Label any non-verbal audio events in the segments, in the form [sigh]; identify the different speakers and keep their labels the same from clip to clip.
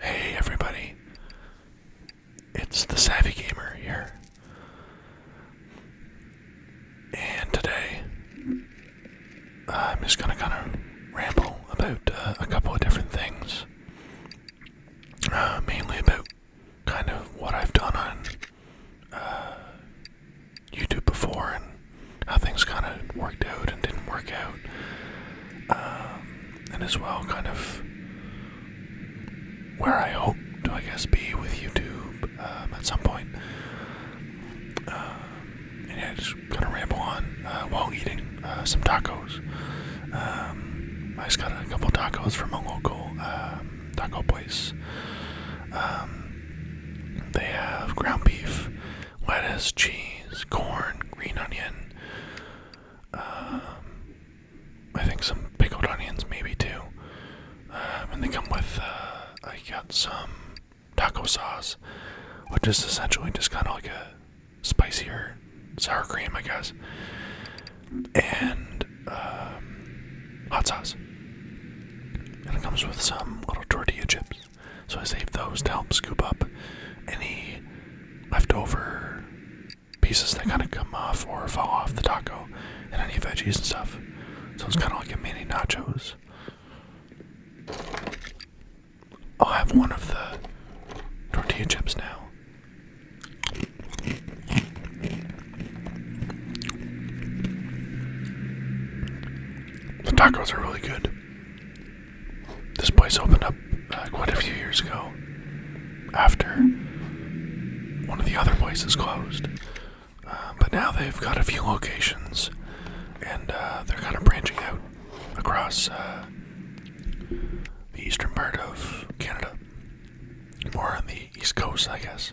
Speaker 1: Hey everybody, it's the Savvy Gamer here, and today I'm just gonna kind of ramble about uh, a couple of different things, uh, mainly about kind of what I've done on uh, YouTube before and how things kind of worked out and didn't work out. Um, and as well kind of where I hope to, I guess, be with YouTube um, at some point. Uh, and yeah, just kind of ramble on uh, while eating uh, some tacos. Um, I just got a couple tacos from a local um, taco place. they have ground beef, lettuce, cheese, corn, green onion, um, I think some pickled onions, maybe too. Um, and they come with, uh, I got some taco sauce, which is essentially just kind of like a spicier sour cream, I guess, and um, hot sauce. And it comes with some little tortilla chips. So I saved those to help scoop up any leftover pieces that kind of come off or fall off the taco and any veggies and stuff. So it's kind of like a mini nachos. I'll have one of the tortilla chips now. The tacos are really good. This place opened up uh, quite a few years ago after one of the other places closed. Uh, but now they've got a few locations and uh, they're kind of branching out across the eastern part of Canada. More on the east coast, I guess.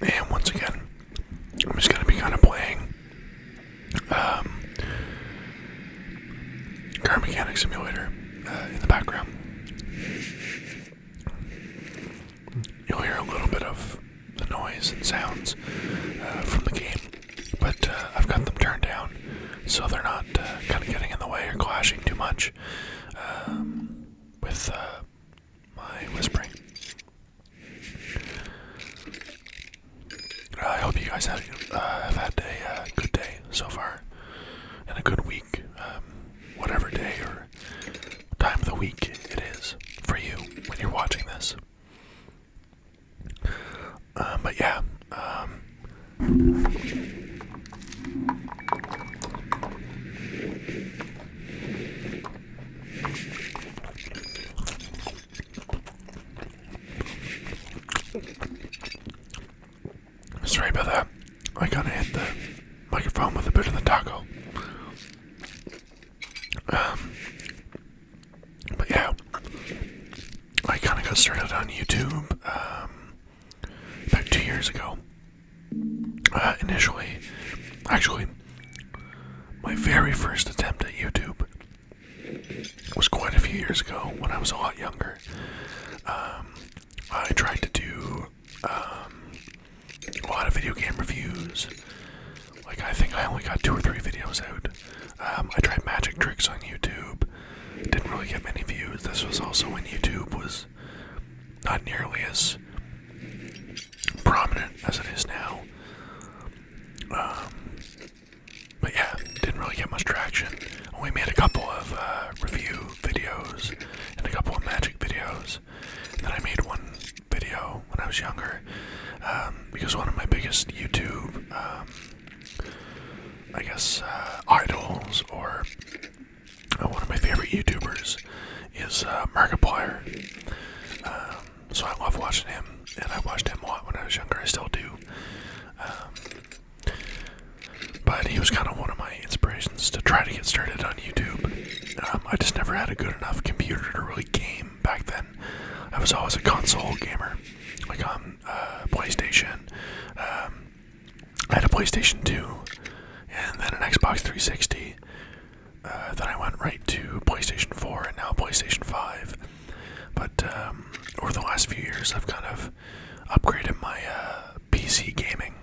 Speaker 1: And once again, I'm just gonna be kind of playing um, Car Mechanic Simulator uh, in the background. You'll hear a little bit of the noise and sounds uh, from the game, but uh, I've got them turned down so they're not kind of getting in the way or clashing too much um, with my whispering. Uh, I hope you guys have, uh, have had a uh, good day so far and a good week, um, whatever day or time of the week it is for you when you're watching this. but yeah, um, Sorry about that. I kind of hit the microphone with a bit of the taco. Um, but yeah, I kind of got started on YouTube um, about two years ago. Uh, initially, actually, my very first attempt at YouTube was quite a few years ago when I was a lot younger. Um, I tried to do um, a lot of video game reviews. Like, I think I only got two or three videos out. Um, I tried magic tricks on YouTube. Didn't really get many views. This was also when YouTube was not nearly as prominent as it is now. Um, but yeah, didn't really get much traction. We made a couple of uh, review videos and a couple of magic videos. then I made one video when I was younger um, because one of my biggest YouTube, um, I guess, uh, idols or uh, one of my favorite YouTubers is uh, Markiplier. Um, so I love watching him, and I watched him a lot when I was younger. I still do. Um, but he was kind of one of my inspirations to try to get started on YouTube. Um, I just never had a good enough computer to really game back then. I was always a console gamer, like on uh, PlayStation, I had a PlayStation 2 and then an Xbox 360. Uh, then I went right to PlayStation 4 and now PlayStation 5. But um, over the last few years, I've kind of upgraded my uh, PC gaming.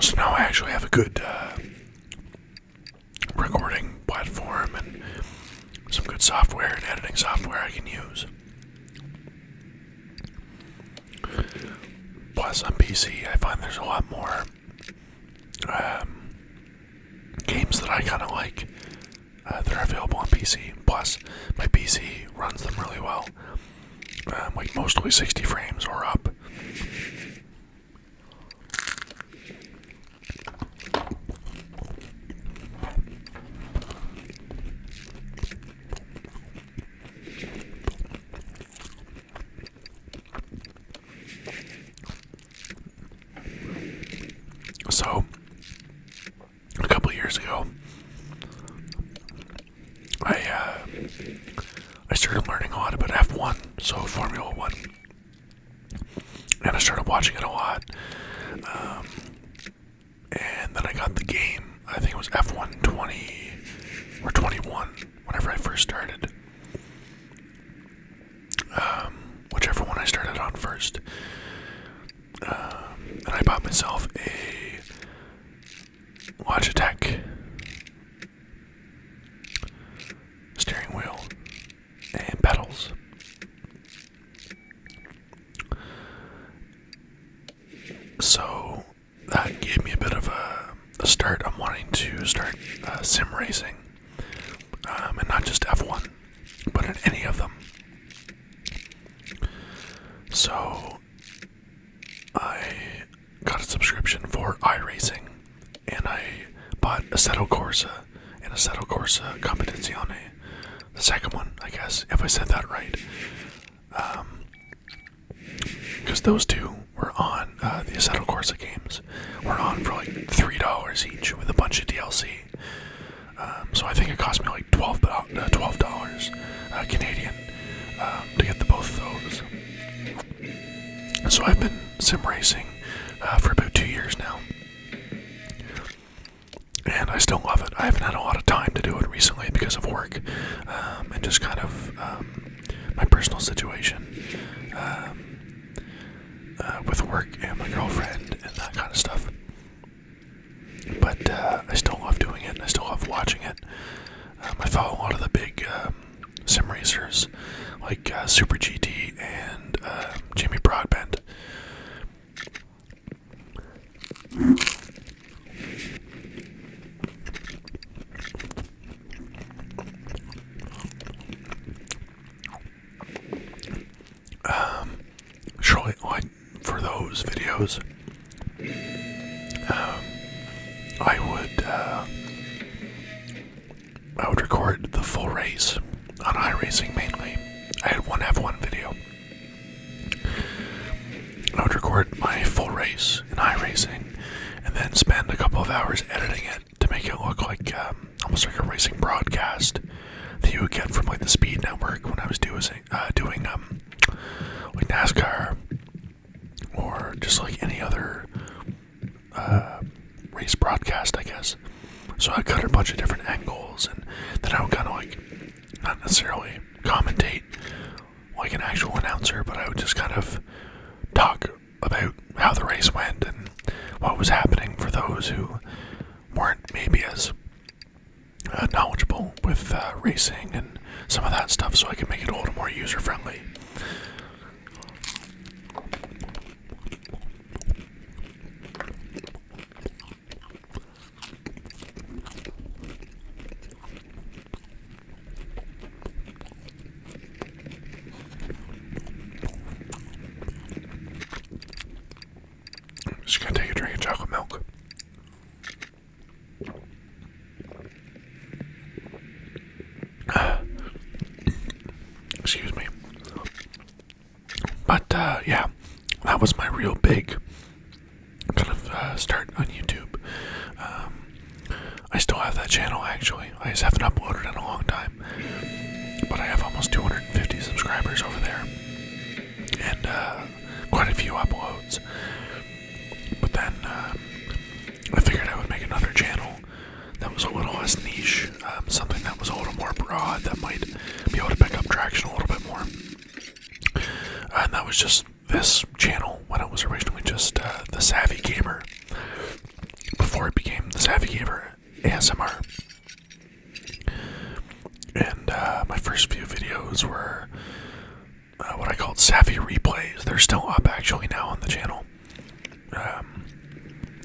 Speaker 1: So now I actually have a good uh, recording platform and some good software and editing software I can use. Plus, on PC, I find there's a lot more um, games that I kind of like uh, that are available on PC. Plus, my PC runs them really well. Um, like mostly 60 frames or up. So, a couple years ago, I uh, I started learning a lot about F1, so Formula One, and I started watching it a lot. Um, and then I got the game. I think it was F1 20 or 21, whenever I first started. Um, whichever one I started on first. Um, and I bought myself a Watch attack. Steering wheel. And pedals. So that gave me a bit of a, start. I'm wanting to start uh, sim racing. Um, and not just F1, but in any of them. So I got a subscription for iRacing and I bought Assetto Corsa and Assetto Corsa Competizione, the second one, I guess, if I said that right. Um, because those two were on uh, the Assetto Corsa games, were on for like three dollars each with a bunch of DLC. Um, so I think it cost me like twelve uh, dollars uh, Canadian. Um, to get the both of those. So I've been sim racing uh, for about two years now, and I still love it. I haven't had a lot of time to do it recently because of work um, and just kind of um, my personal situation uh, with work and my girlfriend and that kind of stuff. But uh, I still love doing it and I still love watching it. Um, I follow a lot of the big um, sim racers like uh, Super GT and um, Jimmy Broadbent. Um, Shirley, like for those videos, um, I would uh, I would record the full race on iRacing mainly. I had one F1 video. I would record my full race in iRacing, and then spend a couple of hours editing it to make it look like um, almost like a racing broadcast that you would get from like the Speed Network when I was doing uh, doing um like NASCAR or just like any other uh, race broadcast, I guess. So I cut a bunch of different angles, and then I would kind of like not necessarily commentate like an actual announcer, but I would just kind of talk about how the race went and what was happening for those who weren't maybe as uh, knowledgeable with uh, racing and some of that stuff, so I can make it a little more user friendly. just gonna take a drink of chocolate milk. [sighs] Excuse me. But uh, yeah, that was my real big kind of uh, start on YouTube. Um, I still have that channel actually. I just haven't uploaded in a long time. But I have almost 250 subscribers over there. And uh, quite a few uploads. But then um, I figured I would make another channel that was a little less niche, um, something that was a little more broad that might be able to pick up traction a little bit more. And that was just this channel when it was originally just uh, the Savvy Gamer before it became the Savvy Gamer ASMR. And uh, my first few videos were uh, what I called savvy replays. They're still up actually now on the channel. Um,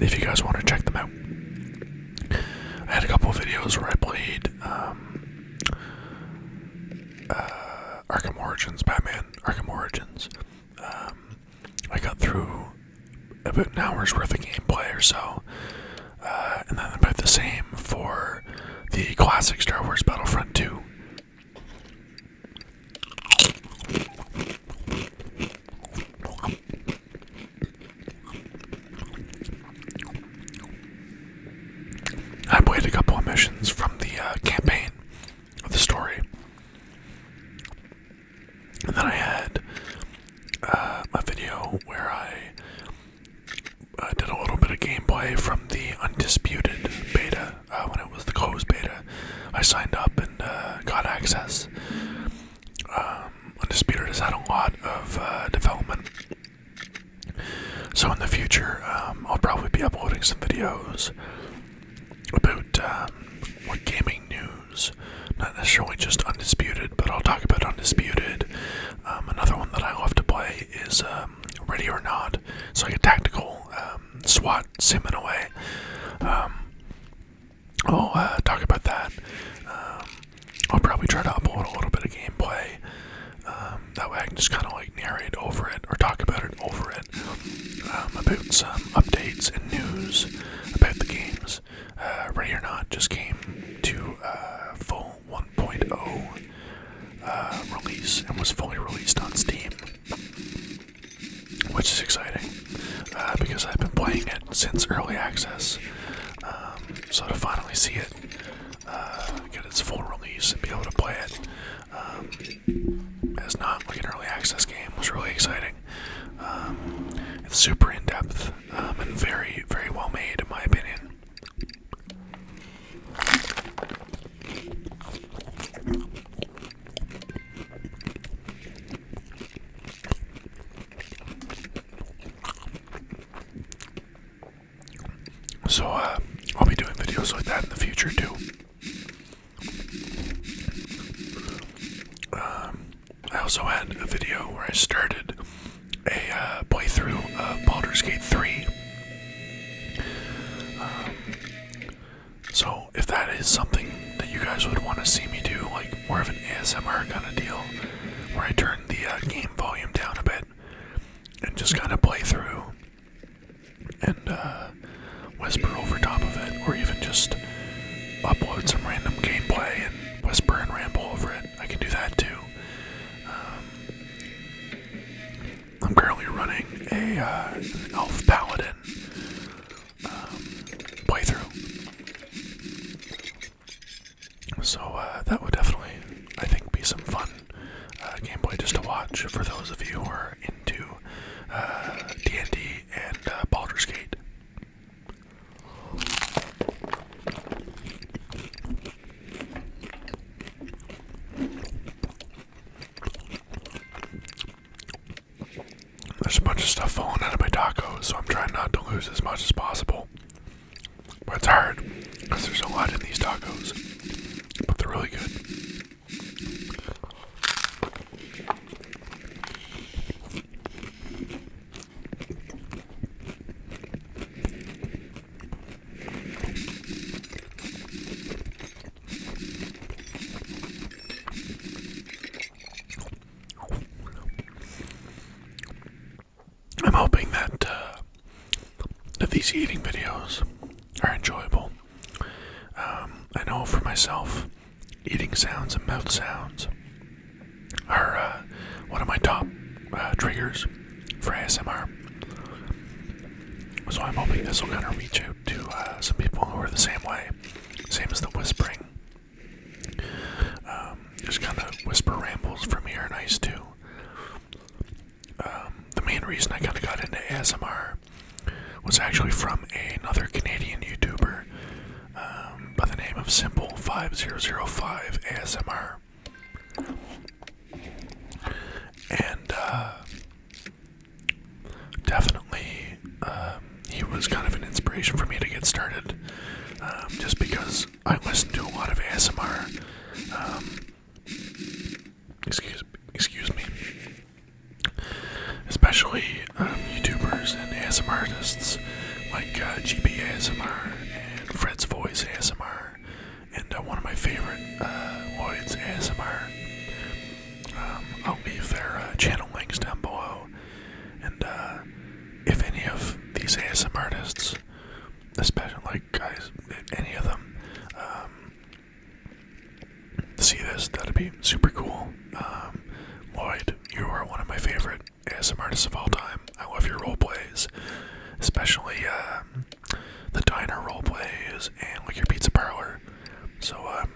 Speaker 1: if you guys want to check them out, I had a couple videos where I played um, uh, Arkham Origins, Batman, Arkham Origins. Um, I got through about an hour's worth of gameplay or so. Uh, and then about the same for the classic Star Wars Battlefront 2. I played a couple of missions from the uh, campaign of the story. And then I had uh, a video where I I did a little bit of gameplay from the undisputed beta uh, when it was the closed beta. I signed up and uh, got access. Um, undisputed has had a lot of uh, development, so in the future um, I'll probably be uploading some videos about um, what gaming news. Not necessarily just undisputed, but I'll talk about undisputed. Um, another one that I love to play is um, Ready or Not. so like a tactical um, SWAT sim in a way. I'll uh, talk about that. I'll probably try to upload a little bit of gameplay. that way I can just kind of like narrate over it or talk about it over it about some updates and news about the games. Uh, Ready or Not just came to uh, full 1.0 uh, release and was fully released on Steam, which is exciting uh, because I've been playing it since early access. Um, so to finally see it uh, get its full release and be able to play it um, as not like an early access game was really exciting. Um, it's super in depth um, and very, very well made, in my opinion. So, uh, I'll be doing videos like that in the future too. Um, I also had a video where I started a uh, playthrough of Baldur's Gate 3. Um, so, if that is something that you guys would want to see me do, like more of an ASMR kind of deal, where I turn the uh, game volume down a bit and just kind of play through and uh, whisper over top of it, or even just upload some random gameplay and whisper and ramble over it, I can do that too. Um, I'm currently running a uh, elf paladin um, playthrough, so uh, that would definitely, I think, be some fun uh, gameplay just to watch for those of you who are into D&D uh, and uh, Baldur's Gate. There's a bunch of stuff falling out of my tacos, so I'm trying not to lose as much as possible. But it's hard because there's a lot in these tacos, but they're really good. I'm hoping that uh, that these eating videos are enjoyable. Um, I know for myself, eating sounds and mouth sounds are uh, one of my top uh, triggers for ASMR. So I'm hoping this will kind of reach out to uh, some people who are the same way, same as the whispering. Um, just kind of whisper rambles from here, nice too. Um, the main reason I kind of got into ASMR was actually from another Canadian YouTuber um, by the name of Simple 5005 ASMR. And uh, definitely, um, he was kind of an inspiration for me to get started um, just because I listen to a lot of ASMR. excuse, excuse me. Especially YouTubers and ASMR artists like uh, ASMR and Fred's Voice ASMR, and uh, one of my favorite, uh, Lloyd's ASMR. Um, I'll leave their uh, channel links down below, and uh, if any of these ASMR artists, especially like guys, any of them, um, see this, that'd be super cool. Um, Lloyd, you are one of my favorite ASM artists of all time. I love your role plays, especially um, the diner role plays and like your pizza parlor. So um,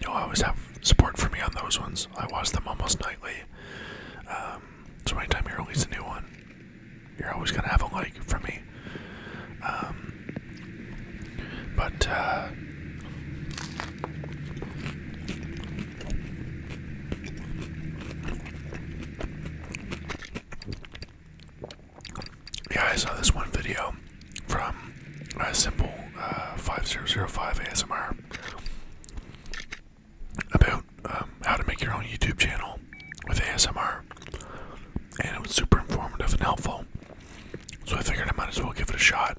Speaker 1: you'll always have support for me on those ones. I watch them almost nightly. Um, so anytime you release a new one, you're always gonna have a like from me. but uh, yeah, I saw this one video from a Simple uh, 5005 ASMR about um, how to make your own YouTube channel with ASMR, and it was super informative and helpful. So I figured I might as well give it a shot,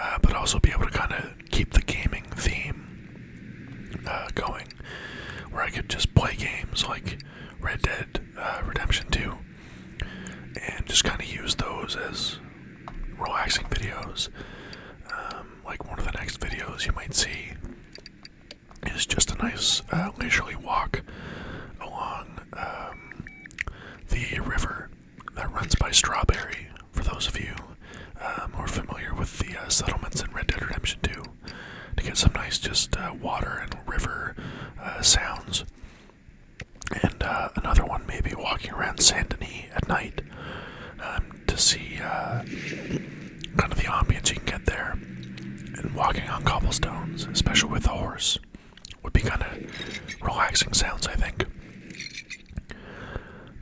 Speaker 1: uh, but also be able to kind of keep the gaming theme uh, going, where I could just play games like Red Dead uh, Redemption 2 and just kind of use those as relaxing videos. Um, like one of the next videos you might see is just a nice uh, leisurely walk along um, the river that runs by Strawberry, for those of you um, uh, who are familiar with the uh, settlements in Red Dead Redemption 2, to get some nice just uh, water and river sounds. And another one, may be walking around Saint Denis at night um, to see kind of the ambience you can get there. And walking on cobblestones, especially with a horse, would be kind of relaxing sounds, I think.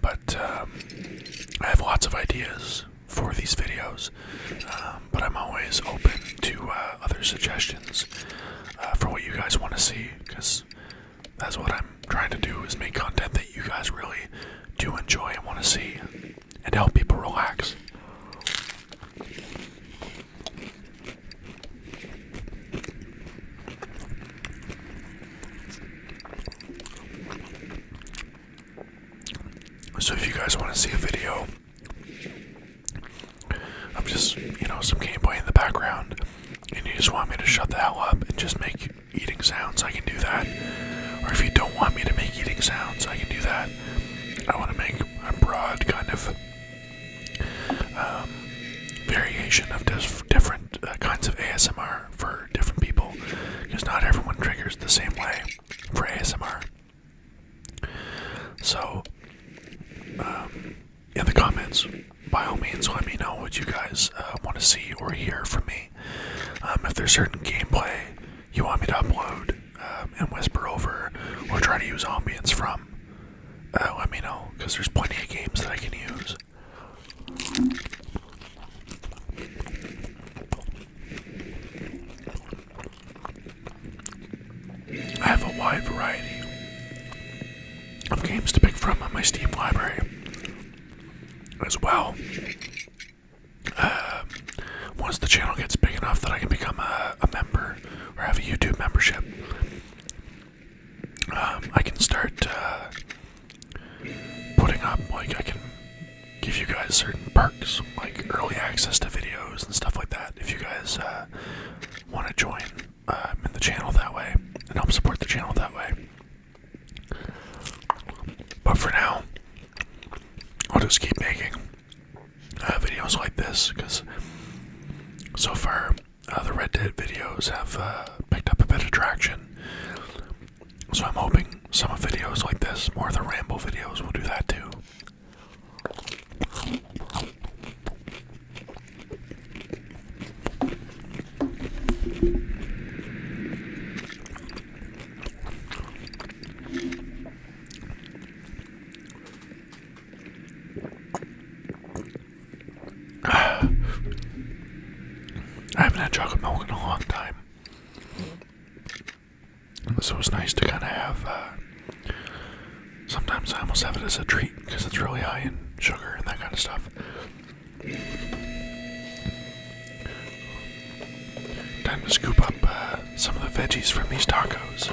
Speaker 1: But um, I have lots of ideas for these videos, um, but I'm always open to uh, other suggestions uh, for what you guys want to see, because that's what I'm trying to do is make content that you guys really do enjoy and want to see, and help people relax. So if you guys want to see a video, I'm just, you know, some gameplay in the background, and you just want me to shut the hell up and just make eating sounds, I can do that. Or if you don't want me to make eating sounds, I can do that. I want to make a broad kind of um, variation of different uh, kinds of ASMR for different people because not everyone triggers the same way for ASMR. So, um, in the comments, by all means, let me know what you guys uh, want to see or hear from me. Um, if there's certain gameplay you want me to upload um, and whisper over or try to use ambience from, uh, let me know because there's plenty of games that I can use I have a wide variety of games to pick from on my Steam library as well. Um, once the channel gets big enough that I can become a member or have a YouTube membership, um, I can start uh, putting up, like, I can give you guys certain perks, like early access to videos and stuff like that, if you guys uh, want to join um, in the channel that way and help support the channel that way. But for now, I'll just keep making uh, videos like this because so far uh, the Red Dead videos have uh, picked up a bit of traction. So I'm hoping some of videos like this, more of the ramble videos, will do that too. [sighs] I haven't had chocolate milk in a long time. So it's nice to kind of have. Uh, sometimes I almost have it as a treat because it's really high in sugar and that kind of stuff. Time to scoop up uh, some of the veggies from these tacos.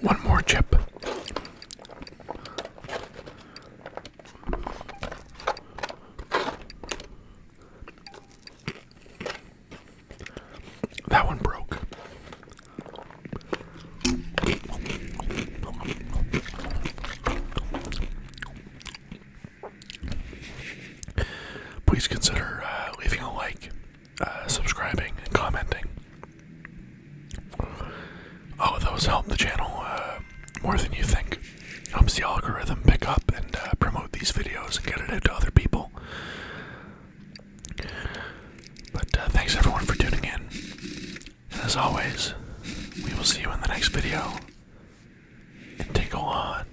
Speaker 1: One more chip. That one broke please consider uh, leaving a like, uh, subscribing, and commenting. Oh, those help the channel uh, more than you think. Helps the algorithm pick up and promote these videos and get it out to other people. But thanks everyone for tuning in. And as always, we will see you in the next video. And tinkle on.